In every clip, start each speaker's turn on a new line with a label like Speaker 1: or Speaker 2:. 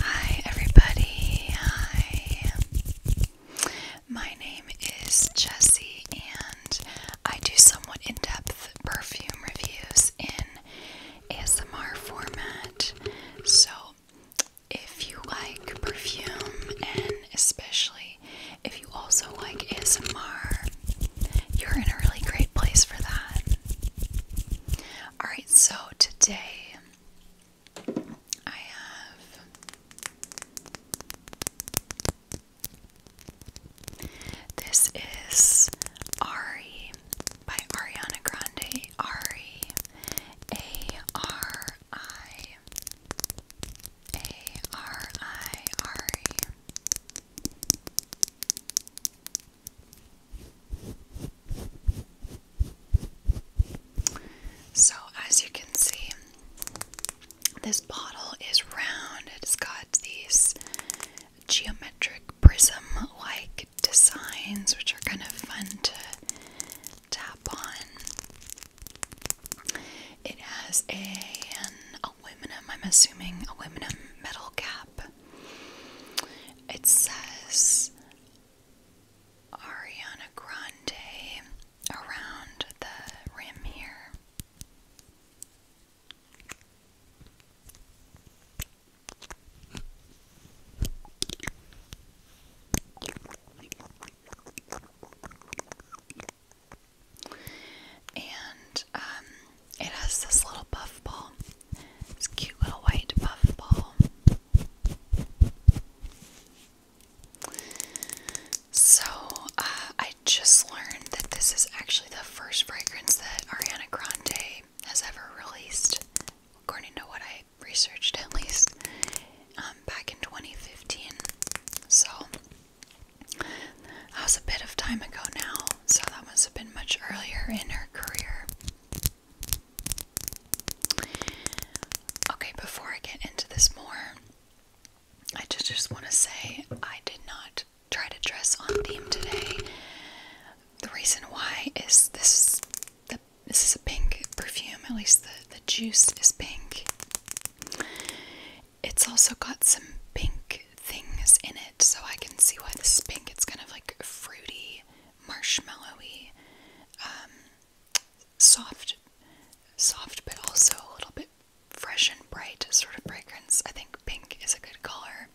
Speaker 1: Hi, everybody. Hi. My name is Jessie, and I do somewhat in depth perfume reviews in ASMR format. So, if you like perfume, and especially if you also like ASMR, you're in a really great place for that. Alright, so today I have. This is Ari by Ariana Grande. Ari. A R I. A R I. So, as you can see, this bottle is round. It's got these geometric prism like designs, which are kind of fun to tap on. It has a, an aluminum, I'm assuming, aluminum metal cap it says Ariana Grande around the rim here. And um, it has this little puff ball. This cute little white puff ball. So, uh, I just learned that this is actually the first fragrance that Ariana Grande has ever released, according to what I researched at least, um, back in 2015. So, that was a bit of time ago now, so that must have been much earlier in her career. Okay, before I get into this more, I just, just want to say I did not try to dress on theme today. The reason why is this the, this is a pink perfume, at least the, the juice is pink. It's also got some pink things in it, so I can see why this pink. It's kind of like fruity, marshmallowy, um, soft, soft, but also a little bit fresh and bright sort of fragrance. I think pink is a good color.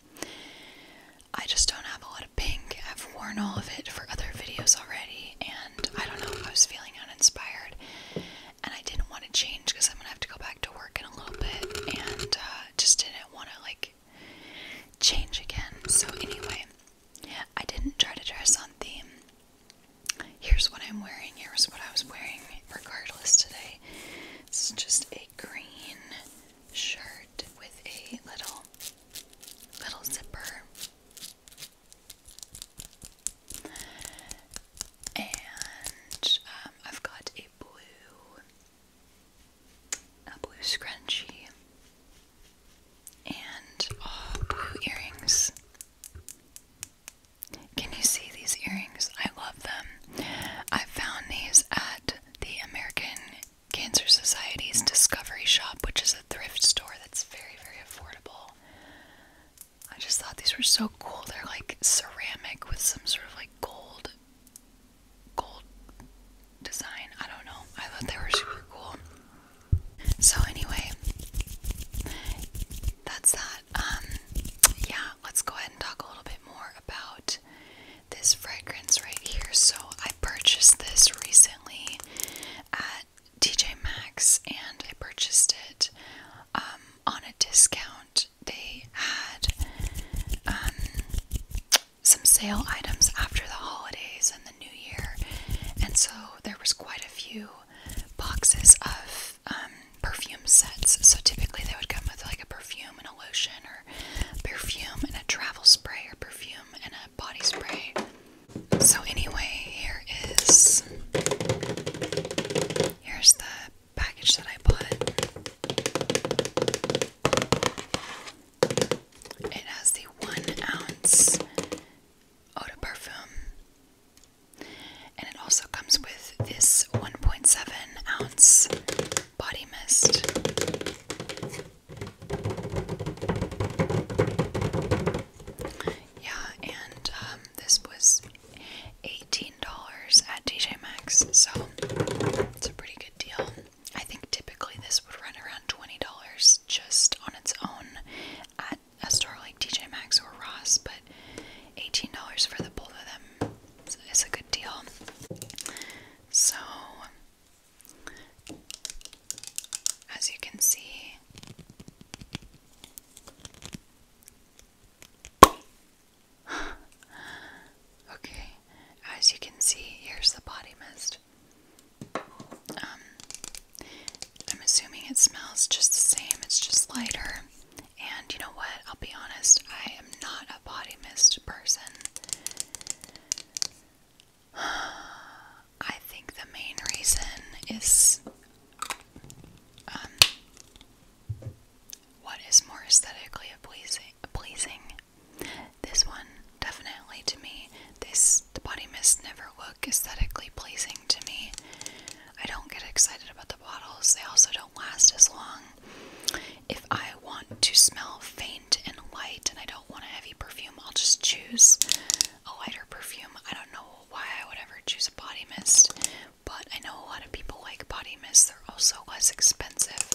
Speaker 1: I just don't have a lot of pink. I've worn all of it for other videos already, and I don't know. I was feeling uninspired, and I didn't want to change because I'm gonna have to go back to work in a little bit, and uh, just didn't want to like change again. So, anyway, I didn't try to dress on theme. Here's what I'm wearing, here's what I was wearing, regardless, today. This is just a green shirt with a little, little zipper. And um, I've got a blue a blue scrunchie, and oh, blue earrings. Can you see these earrings? I love them. I found these at the American Cancer Society's Discovery Shop, which is a thrift store that's very, very affordable. I just thought these were so cool. They're like ceramic with some sort of like gold gold design. I don't know. I thought they were super cool. So anyway, that's that. Um yeah, let's go ahead and talk a little bit more about this fragrance right here. So I purchased this recently at TJ Maxx and I purchased it um on a discount they had um, some sale items after the holidays and the new year, and so there was quite a few boxes of um, perfume sets. So typically they would come with like a perfume and a lotion, or perfume and a travel spray, or perfume and a body spray. So anyway, here is here's the package that I bought. It has the one ounce eau de parfum, and it also comes with this 1.7 ounce body mist. Yeah, and um, this was $18 at DJ Maxx, so it's a pretty good deal. I think typically this would run around $20 just on its own at a store like TJ Maxx or Ross, but $18 for the both of them is a good deal. So, as you can see, okay, as you can see, here's the body mist. Um, I'm assuming it smells just the same, it's just lighter. And you know what? I'll be honest, I am not a body mist person. I think the main reason is um, what is more aesthetically pleasing? This one, definitely to me. This the body mist never look aesthetically pleasing to me. I don't get excited about the bottles. They also don't last as long. If I want to smell faint and light, and I don't want a heavy perfume, I'll just choose a lighter perfume. I don't know why I would ever choose a body mist, but I know a lot of people like body mist. They're also less expensive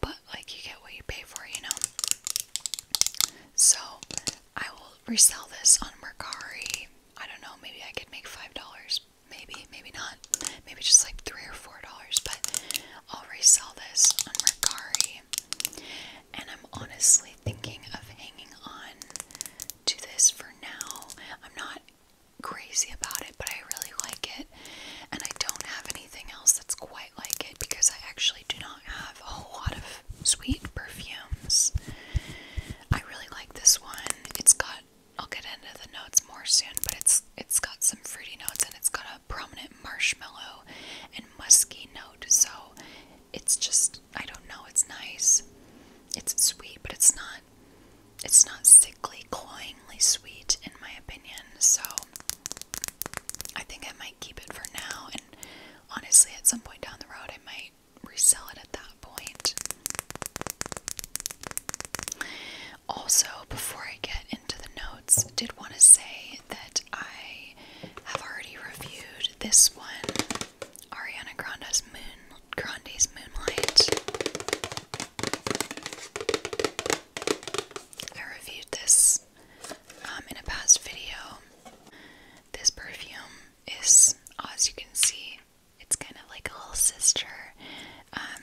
Speaker 1: but like you get what you pay for, you know. So I will resell this on Mercari. I don't know, maybe I could make five dollars. Maybe, maybe not. Maybe just like three or four dollars, but I'll resell this on Mercari. And I'm honestly thinking of hanging on to this for now. I'm not crazy about it, but I really like it. And I don't have anything else that's quite like it because I actually do not have a whole lot of sweet perfumes. I really like this one. It's got I'll get into the notes more soon, but it's it's got some fruity notes and it's got a prominent marshmallow and musky note. So it's just I don't know, it's nice. It's sweet, but it's not it's not sickly, cloyingly sweet in my opinion. So I think I might keep it for now and honestly at some point down the road I might resell it at that point. Also, before I get into the notes, did want to say that I have already reviewed this one, Ariana Grande's Moon Grande's Moonlight. I reviewed this um, in a past video. This perfume is, as you can see, it's kind of like a little sister. Um,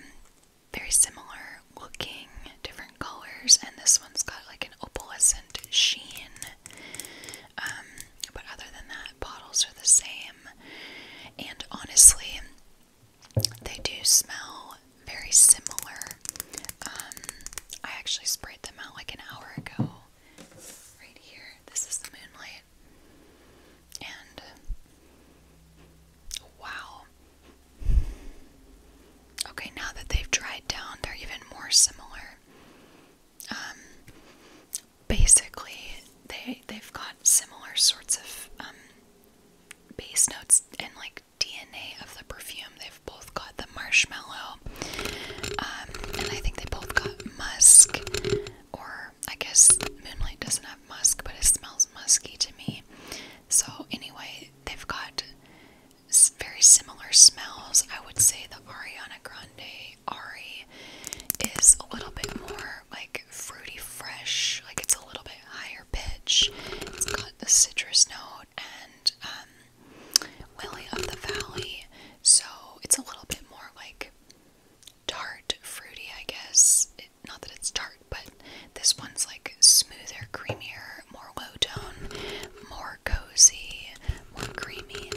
Speaker 1: very similar looking, different colors, and this one's got like an opalescent sheen. Um, but other than that, bottles are the same. And honestly, they do smell very similar. Um, I actually sprayed them out like an hour ago. Right here, this is the moonlight. And wow. Okay, now that they've dried down, they're even more similar. Um, basically, they they've got similar sorts of um, base notes and like DNA of the perfume. They've both got the marshmallow, um, and I think they both got musk, or I guess Moonlight doesn't have musk, but it smells musky to me. So, anyway, they've got very similar smells. I would say the Ariana Grande Ari is a little bit more like fruity fresh, like it's a little bit higher pitch. It's got the citrus note and um, lily of the valley, so it's a little bit more like tart, fruity, I guess. not that it's tart, but this one's like smoother, creamier, more low tone, more cozy, more creamy.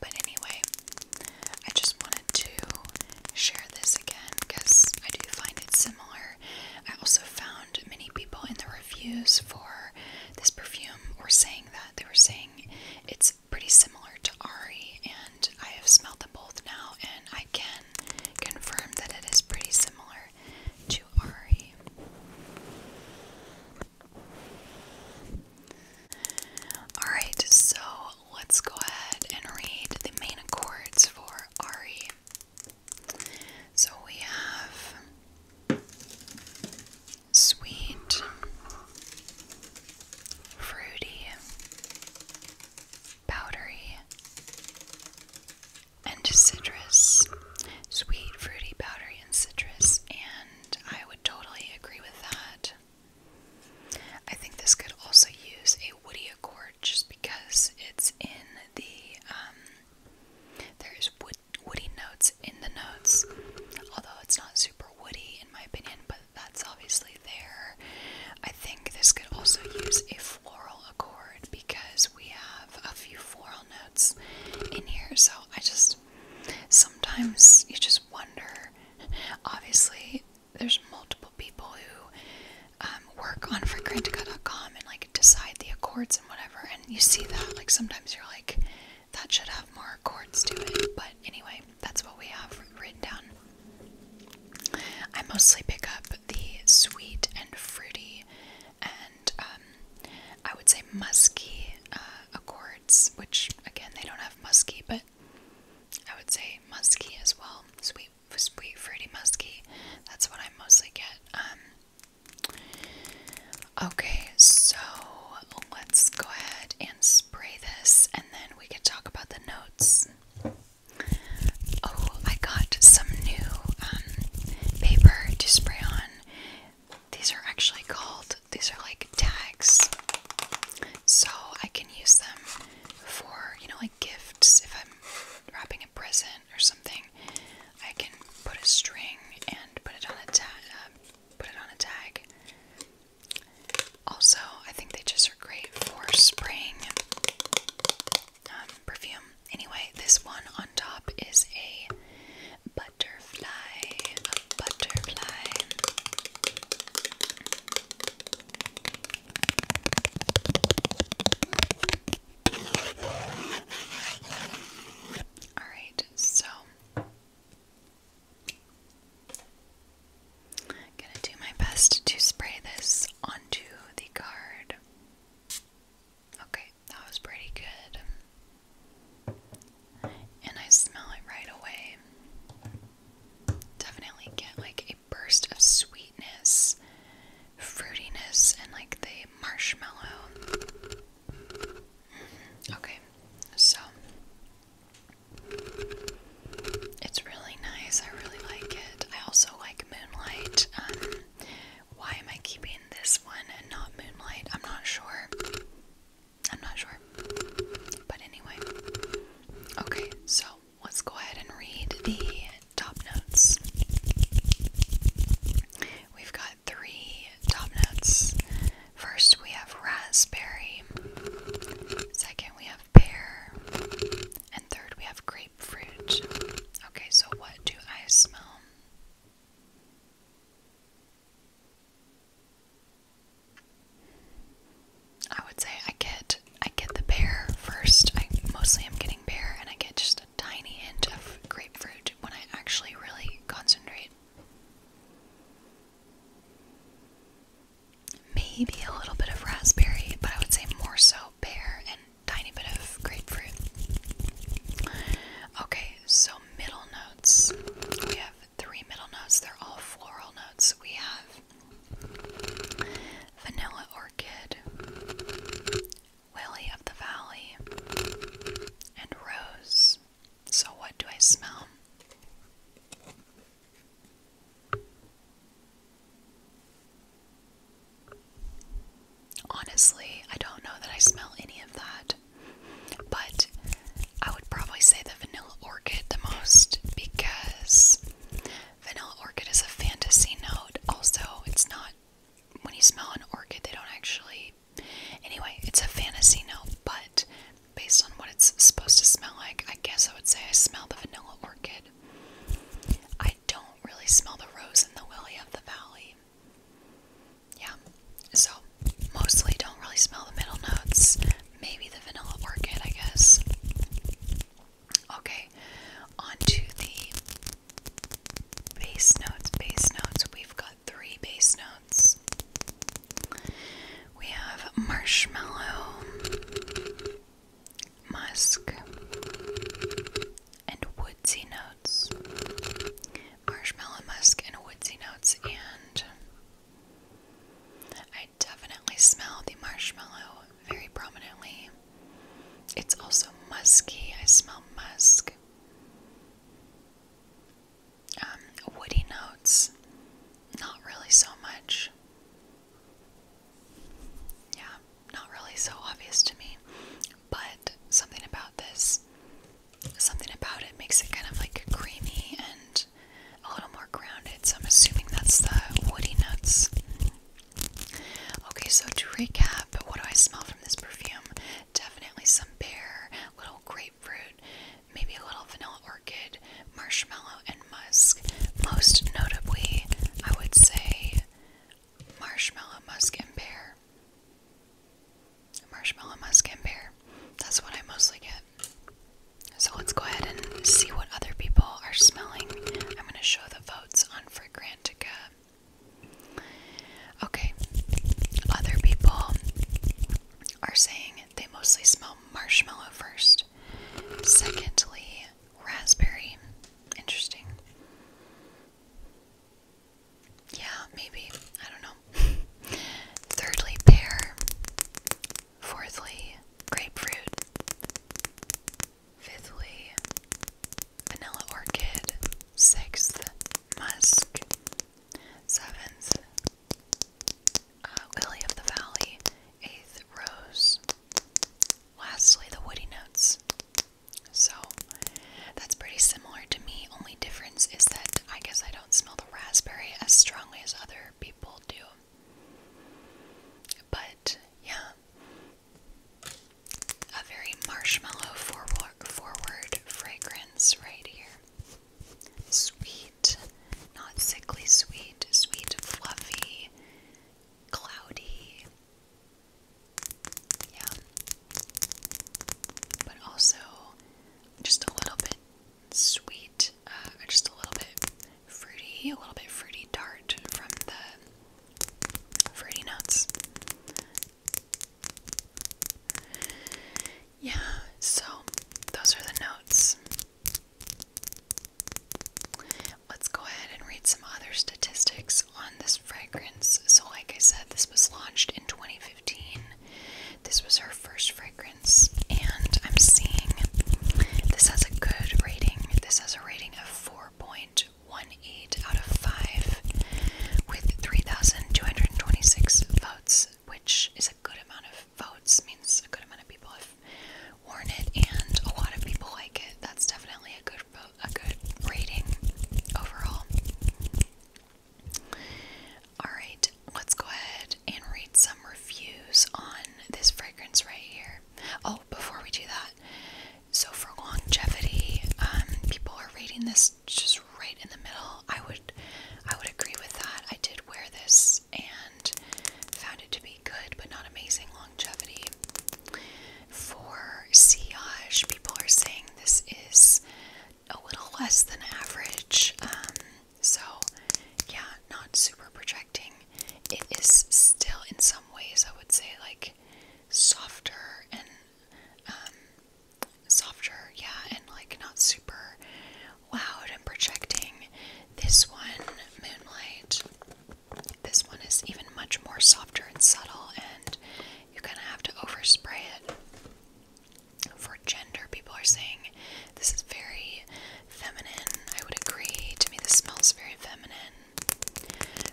Speaker 1: But anyway, I just wanted to share this again because I do find it similar. I also found many people in the reviews for this perfume were saying that. They were saying it's pretty similar to Ari, and I have smelled them both now, and I can confirm that it is pretty similar to Ari. Alright, so let's go ahead and read the main accords for Ari. So we have sweet, fruity, powdery, and citrus. Sweet, fruity, powdery, and citrus. And I would totally agree with that. I think this could also use a woody accord just because it's in the, um, there is wood, woody notes in the notes, although it's not super woody in my opinion, but that's obviously there. I think this could also use a floral accord because we have a few floral notes in here, so I just, sometimes you just wonder, obviously there's multiple people who um, work on frequentica.com and like decide the accords and whatever, and you see that like sometimes you're like that should have more accords to it, but anyway, that's what we have written down. I mostly pick up the sweet and fruity and um, I would say musky uh, accords, which again they don't have musky, but I would say musky as well. Sweet, sweet, fruity, musky. That's what I mostly get. Um, okay, so let's go ahead and spray this, and then we can talk about the notes. Oh, I got some new um, paper to spray on. These are actually called. These are like tags. So I can use them for, you know, like gifts. If I'm wrapping a present or something, I can put a string and put it on a tag. Um, put it on a tag. Also, I think they just are great for spraying um, perfume. Anyway, this one on top is a butterfly. A butterfly. All right, so I'm going to do my best to spray this onto the card. Okay, that was pretty good. And I smell it right away definitely get like a burst of sweetness, fruitiness, and like the marshmallow. Mm-hmm. Okay, so it's really nice. I really like it. I also like Moonlight. Um, why am I keeping this one and not Moonlight? I'm not sure. I'm not sure. But anyway. Okay, so let's go ahead and read the top notes. We've got three top notes. First, we have raspberry. Second, we have pear. And third, we have grapefruit. Okay, so what do I smell? I would say I get I get the pear first. I mostly am getting pear and I get just a tiny hint of grapefruit when I actually really concentrate. Maybe a little bit of raspberry, but I would say more so pear and tiny bit of grapefruit. Okay, so middle notes. We have three middle notes. They're all floral notes. We have Vanilla Orchid, Lily of the Valley, and Rose. So, what do I smell? Honestly, I don't know that I smell any of that, but I would probably say the vanilla. Orchid the most because Vanilla Orchid is a fantasy note. Also, it's not when you smell an orchid, they don't actually. Anyway, it's a fantasy note, but based on what it's supposed to smell like, I guess I would say I smell the vanilla orchid. I don't really smell the rose and the lily of the valley. Yeah, so mostly don't really smell the middle notes, Maybe the vanilla orchid, I guess. Okay, on the base notes. Base notes, we've got three base notes. We have marshmallow, musk, and woodsy notes. Marshmallow, musk, and woodsy notes, and I definitely smell the marshmallow very prominently. It's also musky. I smell musk. Um, woody notes, not really so much. Yeah, not really so obvious to me. But something about this, something about it makes it kind of like creamy and a little more grounded. So I'm assuming that's the woody notes. Okay, so to recap, what do I smell from this perfume? Definitely some pear, little grapefruit, maybe a little vanilla orchid, marshmallow, and musk. Most notably, I would say marshmallow, musk, and pear. Marshmallow, musk, and pear. That's what I mostly get. So let's go ahead and see what other people are smelling. I'm going to show the votes on Fragrantica. Okay, other people are saying they mostly smell marshmallow first, secondly, raspberry. Interesting. Yeah, maybe. I don't know. Thirdly, pear. Fourthly, grapefruit. Fifthly, vanilla orchid. Sixth, musk. Seventh, uh, lily of the valley. Eighth, rose. Lastly, the woody notes. So that's pretty similar to me. Only difference is that I guess I don't smell the raspberry as strongly as other people do. But yeah, a very marshmallow forward, forward fragrance right here. Sweet, not sickly sweet, sweet, fluffy, cloudy. Yeah. But also just a little bit sweet, uh, just a little bit fruity, a little bit fruity tart from the fruity nuts. Yeah, so those are the notes. Let's go ahead and read some other statistics on this fragrance. So, like I said, this was launched in 2015. This was her first fragrance, and I'm seeing this has a good rating. This has a rating of 4.18 out of 5 with 3,226 votes, which is a good amount of votes, means a good amount of people have worn it, and a lot of people like it. That's definitely a good a good rating overall. Alright, let's go ahead and read some reviews on this fragrance right here. Oh, before we do that, so for longevity, um, people are rating this just right in the middle. I would I would agree with that. I did wear this and found it to be good but not amazing longevity. For sillage, people are saying this is a little less than average. Um, so, yeah, not super projecting. It is still, in some ways, I would say, like softer and um, softer, yeah, and like not super loud and projecting. This one, Moonlight, this one is even much more softer and subtle, and you are gonna have to overspray it for gender. People are saying this is very feminine. I would agree. To me, this smells very feminine.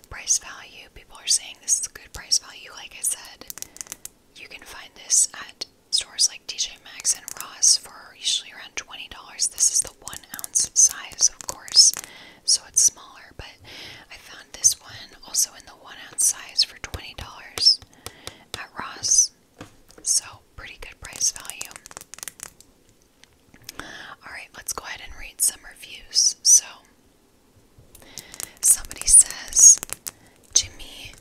Speaker 1: Price value. People are saying this is good price value. Like I said, you can find this at stores like TJ Maxx and Ross for usually around $20. This is the one ounce size, of course, so it's smaller, but I found this one also in the one ounce size for $20 at Ross. So, pretty good price value. Alright, let's go ahead and read some reviews. So, somebody says, To me,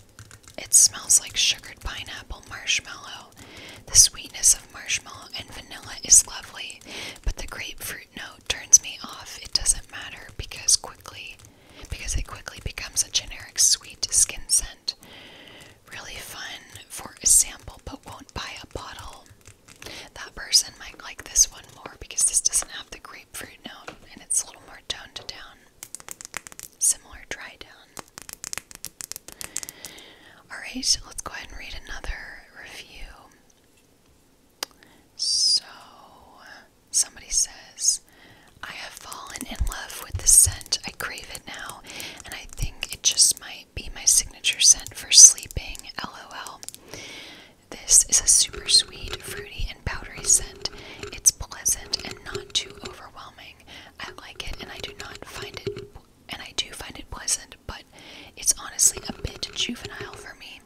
Speaker 1: it smells like sugared pineapple marshmallow. The sweetness of marshmallow and vanilla is lovely, but the grapefruit note turns me off. It doesn't matter because quickly because it quickly becomes a generic sweet skin scent. Really fun for a sample, but won't buy a bottle. That person might like this one more because this doesn't have the grapefruit note and it's a little more toned down. Similar dry down. Alright, let's go ahead and read another review. So, Somebody says, I have fallen in love with the scent. I crave it now, and I think it just might be my signature scent for sleeping. LOL. This is a super sweet, fruity, and powdery scent. It's pleasant and not too overwhelming. I like it, and I do not find it, and I do find it pleasant, but it's honestly a bit juvenile for me.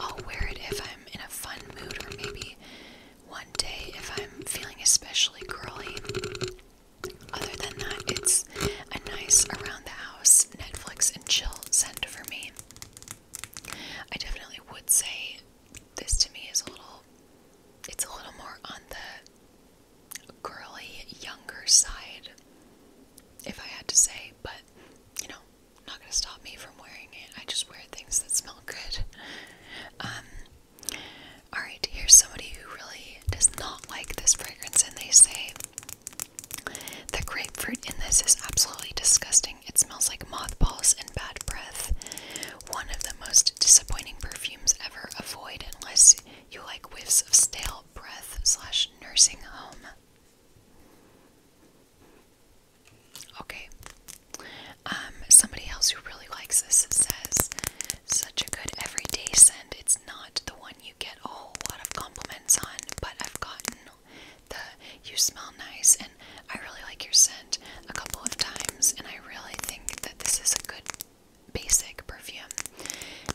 Speaker 1: I'll wear it if I'm in a fun mood or maybe one day if I'm feeling especially girly. Other than that, it's a nice around the house Netflix and chill scent for me. I definitely would say this to me is a little it's a little more on the girly younger side if I had to say, but you know, not gonna stop me from wearing it. I just wear things that smell good. Um, Alright, here's somebody who really does not like this fragrance, and they say the grapefruit in this is absolutely disgusting. It smells like mothballs and bad breath. One of the most disappointing perfumes ever. Avoid unless you like whiffs of stale breath slash nursing home. Okay. Um, somebody else who really likes this says, such a good everyday scent. It's not the one you get a whole lot of compliments on, but I've gotten the you smell nice and I really like your scent a couple of times, and I really think that this is a good basic perfume.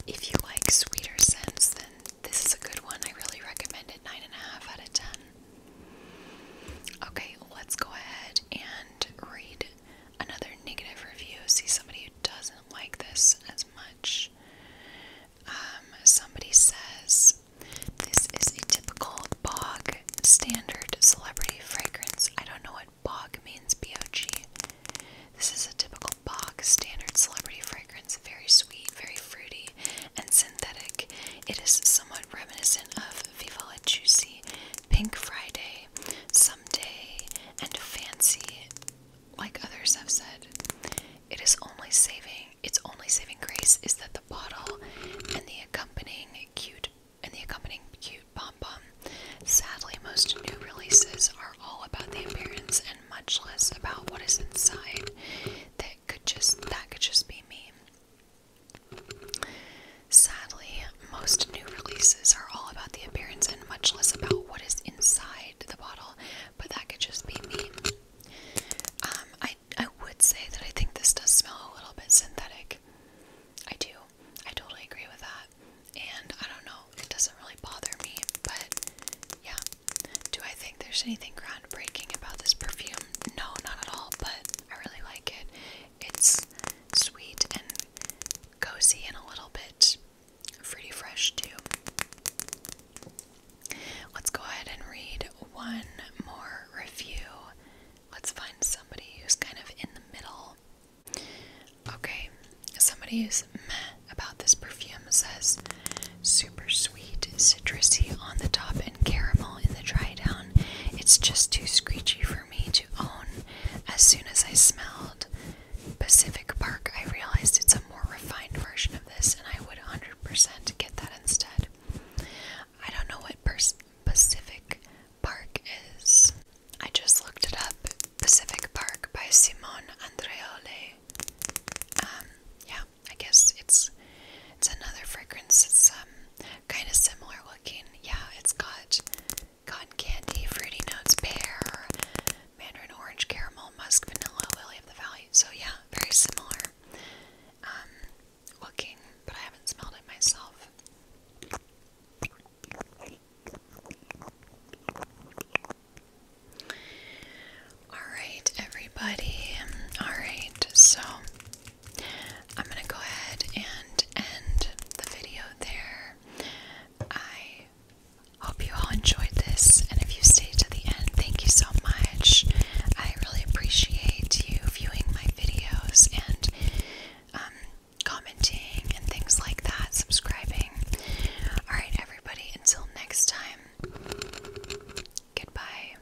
Speaker 1: If you like sweeter scents, then this is a good one. I really recommend it. Nine and a half out of ten. Okay, let's go ahead and read another negative review. See somebody who doesn't like this as much. Um, somebody says, This is a typical bog standard celebrity fragrance. I don't know what bog means, B O G. This is a typical bog standard celebrity fragrance. Very sweet, very fruity, and synthetic. It is somewhat reminiscent of Viva La Juicy, Pink Friday, Sunday, and Fancy, like others have said. It is only saving, its only saving grace is that the bottle and the accompanying cute and the accompanying cute pom pom. Sadly, most new releases are all about the appearance and much less about what is inside. That could just that could just be me. Sadly, most new releases are all about the appearance and much less about what is inside the bottle, but that could just be me. Um, I, I would say that I think this does smell a little bit synthetic. I do. I totally agree with that. And I don't know, it doesn't really bother me, but yeah. Do I think there's anything groundbreaking about this perfume? No, not at all, but I really like it. It's sweet and cozy and a little bit fruity fresh, too. Let's go ahead and read one more review. Let's find somebody who's kind of in the middle. Okay, somebody who's meh about this perfume says super sweet, citrusy on the top and caramel in the dry It's just too screechy for me to own. As soon as I smelled Pacific Park, I realized it's a more refined version of this, and I would 100% get that instead. I don't know what Pacific Park is. I just looked it up. Pacific Park by Simon Andreoli. Um, yeah, I guess it's it's another fragrance. It's um kind of similar looking. Yeah, it's got cotton candy, fruity notes, pear, mandarin orange, caramel, musk, vanilla, lily of the valley. So yeah, very similar um, looking, but I haven't smelled it myself. All right, everybody. All right, so I'm gonna go ahead and end the video there. I hope you all enjoyed this, and if you stayed to the end, thank you so much. I really appreciate you viewing my videos and um, commenting and things like that, subscribing. Alright, everybody, until next time, goodbye.